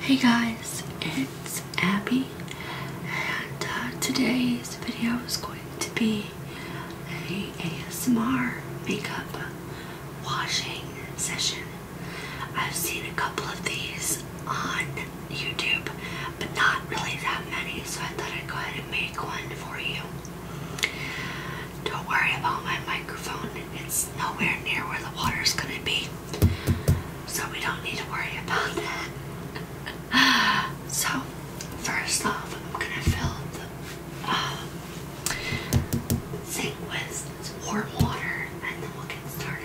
Hey guys, it's Abby and uh, today's video is going to be a ASMR makeup washing session. I've seen a couple of these on YouTube but not really that many so I thought I'd go ahead and make one for you. Don't worry about my microphone, it's nowhere near where the water is gonna be, so we don't need to worry about that. so, first off, I'm gonna fill the um, sink with warm water and then we'll get started.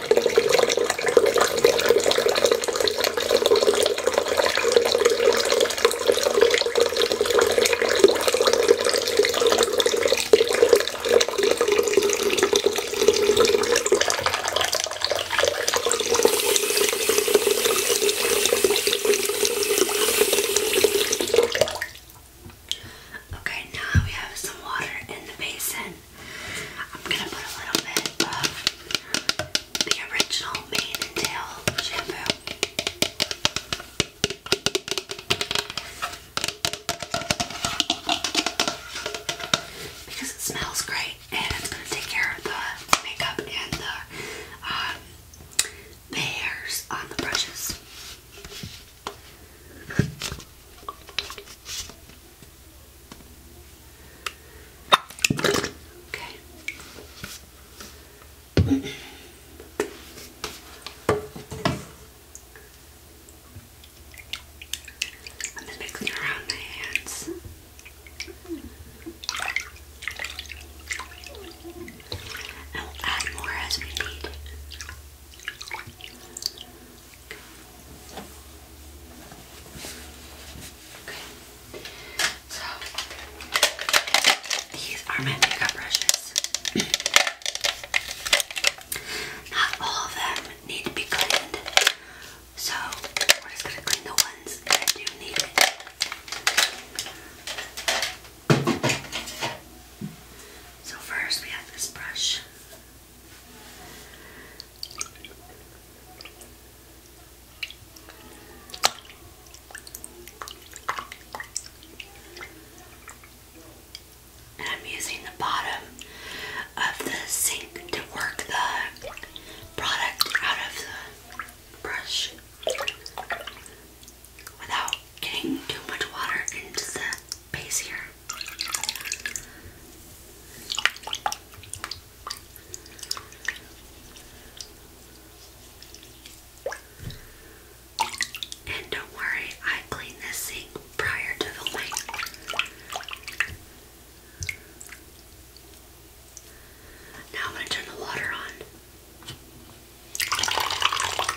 Okay, now we have some water in the basin. I'm gonna put a little bit of the original mane and tail shampoo. Because it smells great and it's gonna take care of the makeup and the um the hairs on the brushes. Okay. I'm mixing around my hands. And we'll add more as we need. So these are my makeup brushes. Not all of them need to be cleaned. So we're just gonna clean the ones that do need it. So first we have this brush. I'm using the bottom of the sink to work the product out of the brush without getting too much water into the base here. And don't worry, I cleaned this sink prior to filming. Now I'm going to turn the water on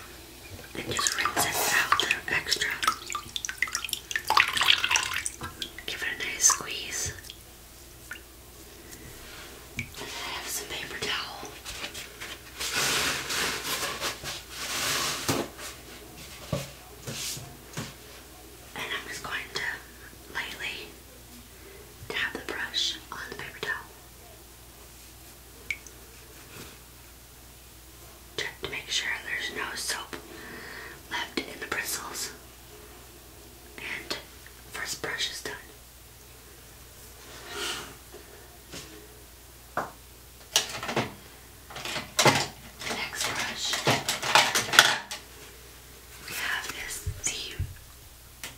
and just rinse it out the extra. Give it a nice squeeze. I have some paper towel. And I'm just going to lightly tap the brush on the paper towel. Check to make sure there's no soap left in the bristles. And first brush is done. next brush we have is the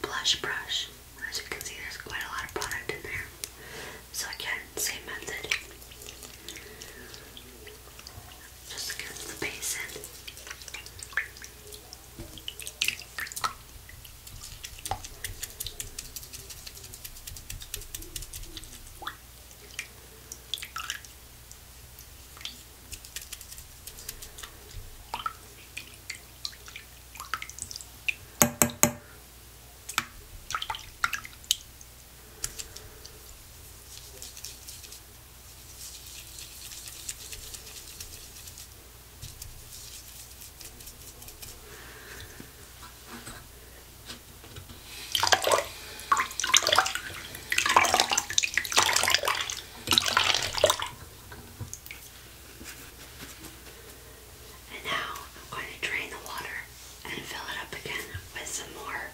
blush brush. As you can see, there's quite a lot of product in there. So, again, same method just against the basin. Okay. And now I'm going to drain the water and fill it up again with some more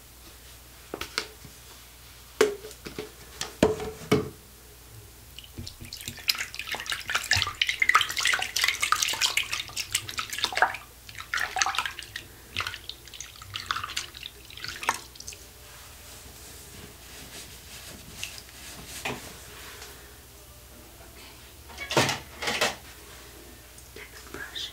Okay. Next brush.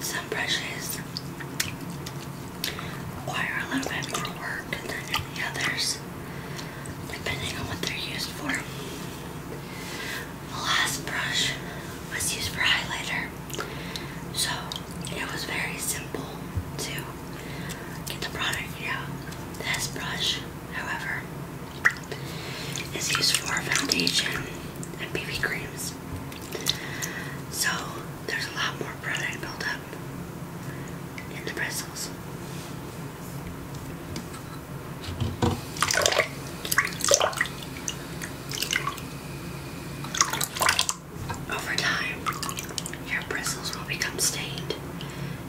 Some brushes require a little bit more work than the others, depending on what they're used for. The last brush was used for highlighter, so it was very simple to get the product out. This brush, however, is used for foundation and BB creams. So there's a lot more product built up in the bristles. Over time, your bristles will become stained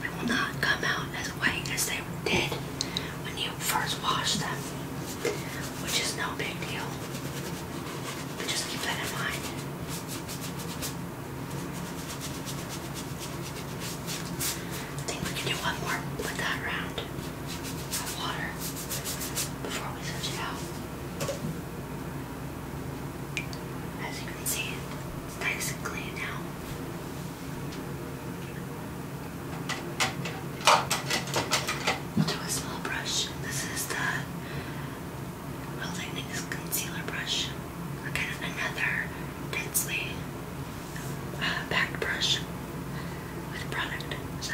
They will not come out as white as they did when you first wash them, which is no big deal. But just keep that in mind. think we can do one more with that round water before we switch it out. As you can see, it's nice and clean now do a small brush. This is the well this concealer brush. Again, another densely uh, packed brush with product. So.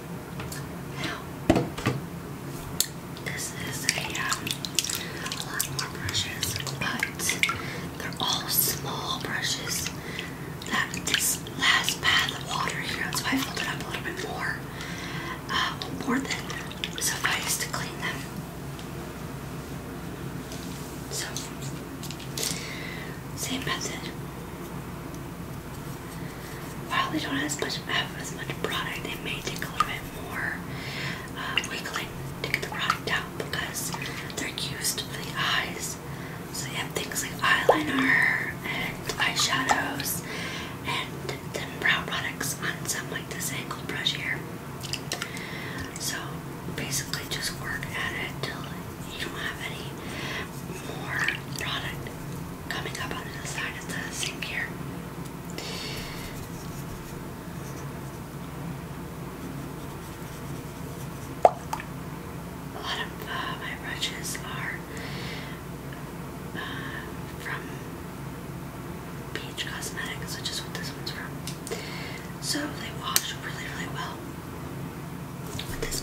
Now, this is a, lot more brushes, but they're all small brushes. That this last pad of water here, that's why I filled it up a little bit more, uh, more than suffice to clean them. So, same method. While they don't have as much product. they may take a little bit more uh, to get the product out because they're used for the eyes. So you have things like eyeliner and eyeshadows and then brow products on some like this angled brush here. So basically just work at it till you don't have any more product coming up on the side of the sink here. A lot of uh, my brushes are uh, from Peach Cosmetics, which is what this one's from. So they wash really, really well with this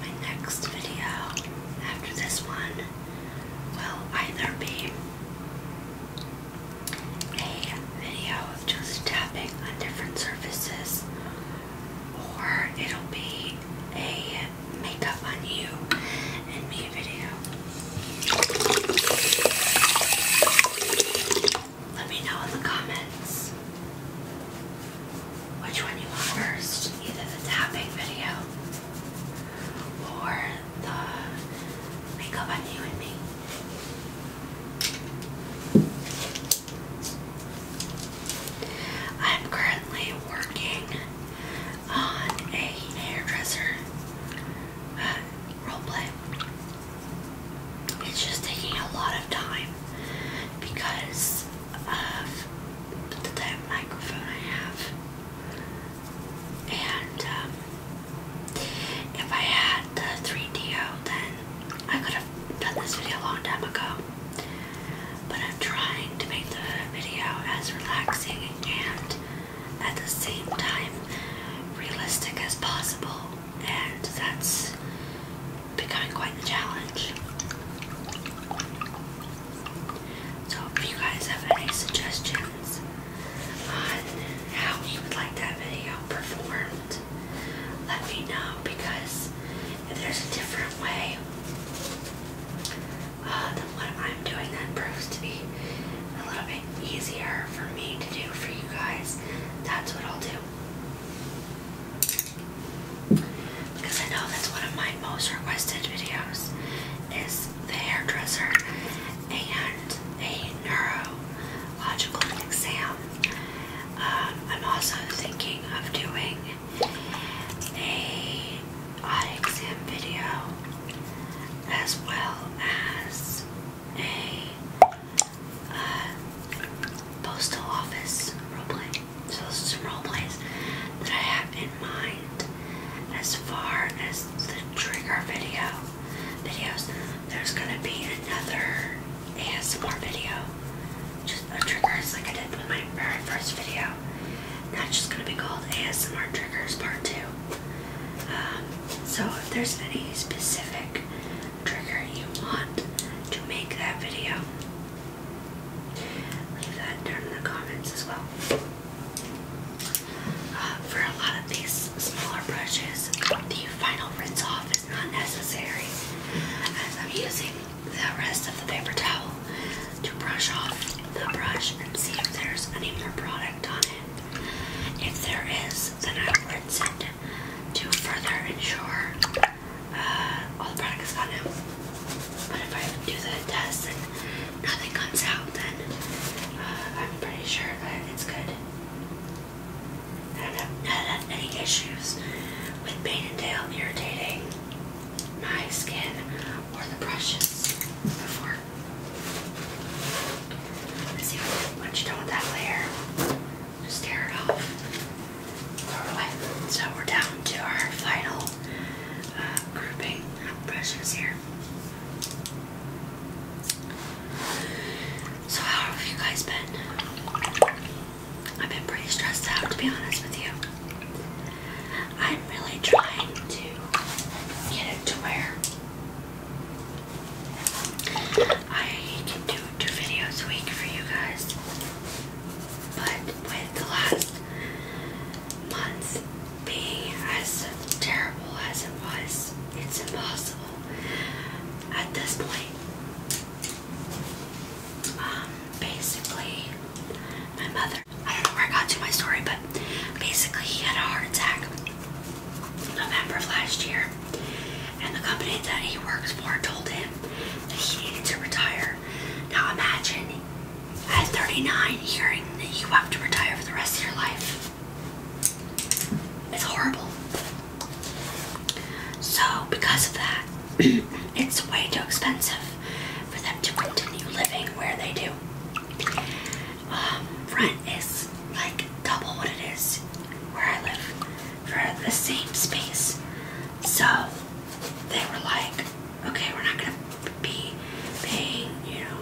My next video after this one will either be a video of just tapping on different surfaces, or it'll be a makeup on you and me video. Let me know in the comments which one you want first either the tapping video or the makeup on you and me. I'm currently working on a hairdresser uh, roleplay. It's just taking a lot of time because of the that microphone I have. And um, if I had the 3DO, then I could have done this video a long time ago. But I'm trying to make the video as relaxing and at the same time realistic as possible, and that's becoming quite the challenge. So, if you guys have any suggestions on how you would like that video performed. Let me know because if there's a different way uh, than what I'm doing, that proves to be a little bit easier for me to do for you guys. That's what I'll do. Because I know that's one of my most requested videos is the hairdresser, and a neurological exam. Um, I'm also thinking of doing a eye exam video as well as a uh, postal office roleplay. So those are some roleplays that I have in mind as far as the trigger video videos, there's gonna be another ASMR video. Just a triggers like I did with my very first video. That's just gonna be called ASMR Triggers Part 2. Um, so if there's any specific trigger you want to make that video, leave that down in the comments as well for a lot of these smaller brushes, the final rinse off is not necessary as I'm using the rest of the paper towel to brush off the brush and see if there's any more product on it. If there is, then I will rinse it to further ensure uh, all the product is gone But if I do the test nothing comes out, then uh, I'm pretty sure that it's good. I don't have any issues with Pain and Tail irritating my skin or the brushes before. See, once you don't with that layer, just tear it off. Throw it away. So we're down to our final uh, grouping of brushes here. So how have you guys been? I've been pretty stressed out to be honest with you. I'm really trying to get it to where I can do two videos a week for you guys. But with the last Months Being as terrible as it was, it's impossible at this point. Um, basically, my mother, I don't know where I got to my story, but basically, he had a heart attack in November of last year, and the company that he works for told him that he needed to retire. Now, imagine at 39, hearing that you have to retire for the rest of your life. It's horrible. So, because of that, it's way too expensive for them to continue living where they do. Front um, is like double what it is where I live for the same space. So, they were like, okay, we're not gonna be paying, you know,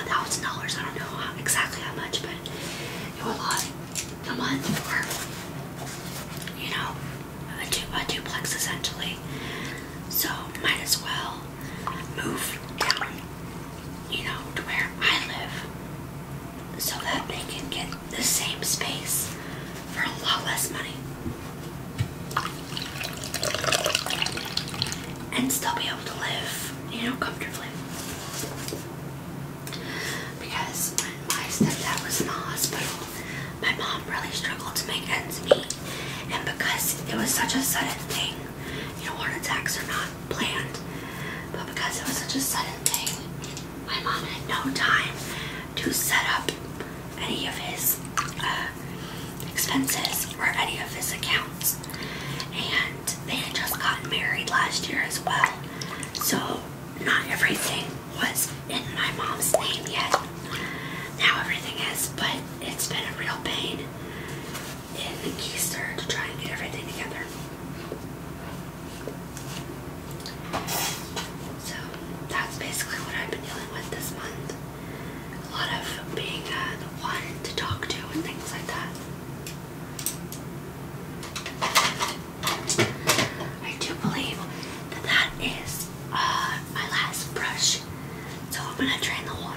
a thousand dollars. I don't know how, exactly how much, but it was a lot a month for, you know, a, du a duplex essentially. So might as well move down, you know, to where I live, so that they can get the same space for a lot less money and still be able to live, you know, comfortably. Because when my stepdad was in the hospital, my mom really struggled to make ends meet. And because it was such a sudden thing, you know, heart attacks are not planned, but because it was such a sudden thing, my mom had no time to set up any of his uh, expenses or any of his accounts. And they had just gotten married last year as well. So not everything was in my mom's name yet. Now everything is, but it's been a real pain in the keister to try and get everything together. So that's basically what I've been dealing with this month a lot of being uh, the one to talk to and things like that. I do believe that that is uh, my last brush, so I'm gonna drain the water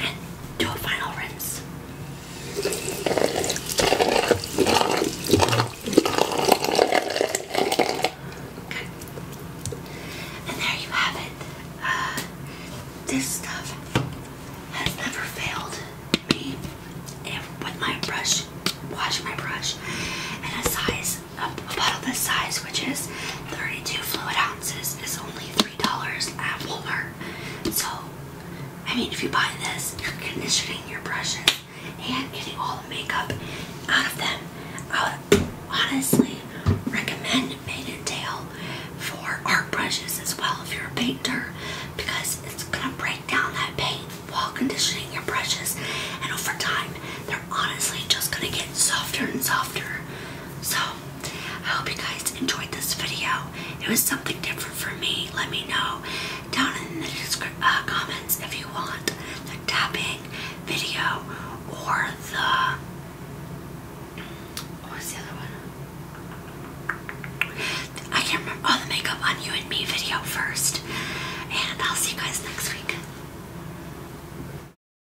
and do a final rinse. And there you have it. Uh, this stuff has never failed me. With my brush, wash my brush, and a size, a bottle this size, which is 32 fluid ounces, is only $3 at Walmart. So, I mean, if you buy this, you're conditioning your brushes and getting all the makeup out of them. I would honestly recommend Made in Tail for art brushes as well if you're a painter because it's going to break down that paint while conditioning your brushes. And over time, they're honestly just going to get softer and softer. So, I hope you guys enjoyed this video. It was something different for me. Let me know down in the uh, comments if you want the tapping video or the what the other one? I can't remember. Oh, the makeup on you and me video first. And I'll see you guys next week.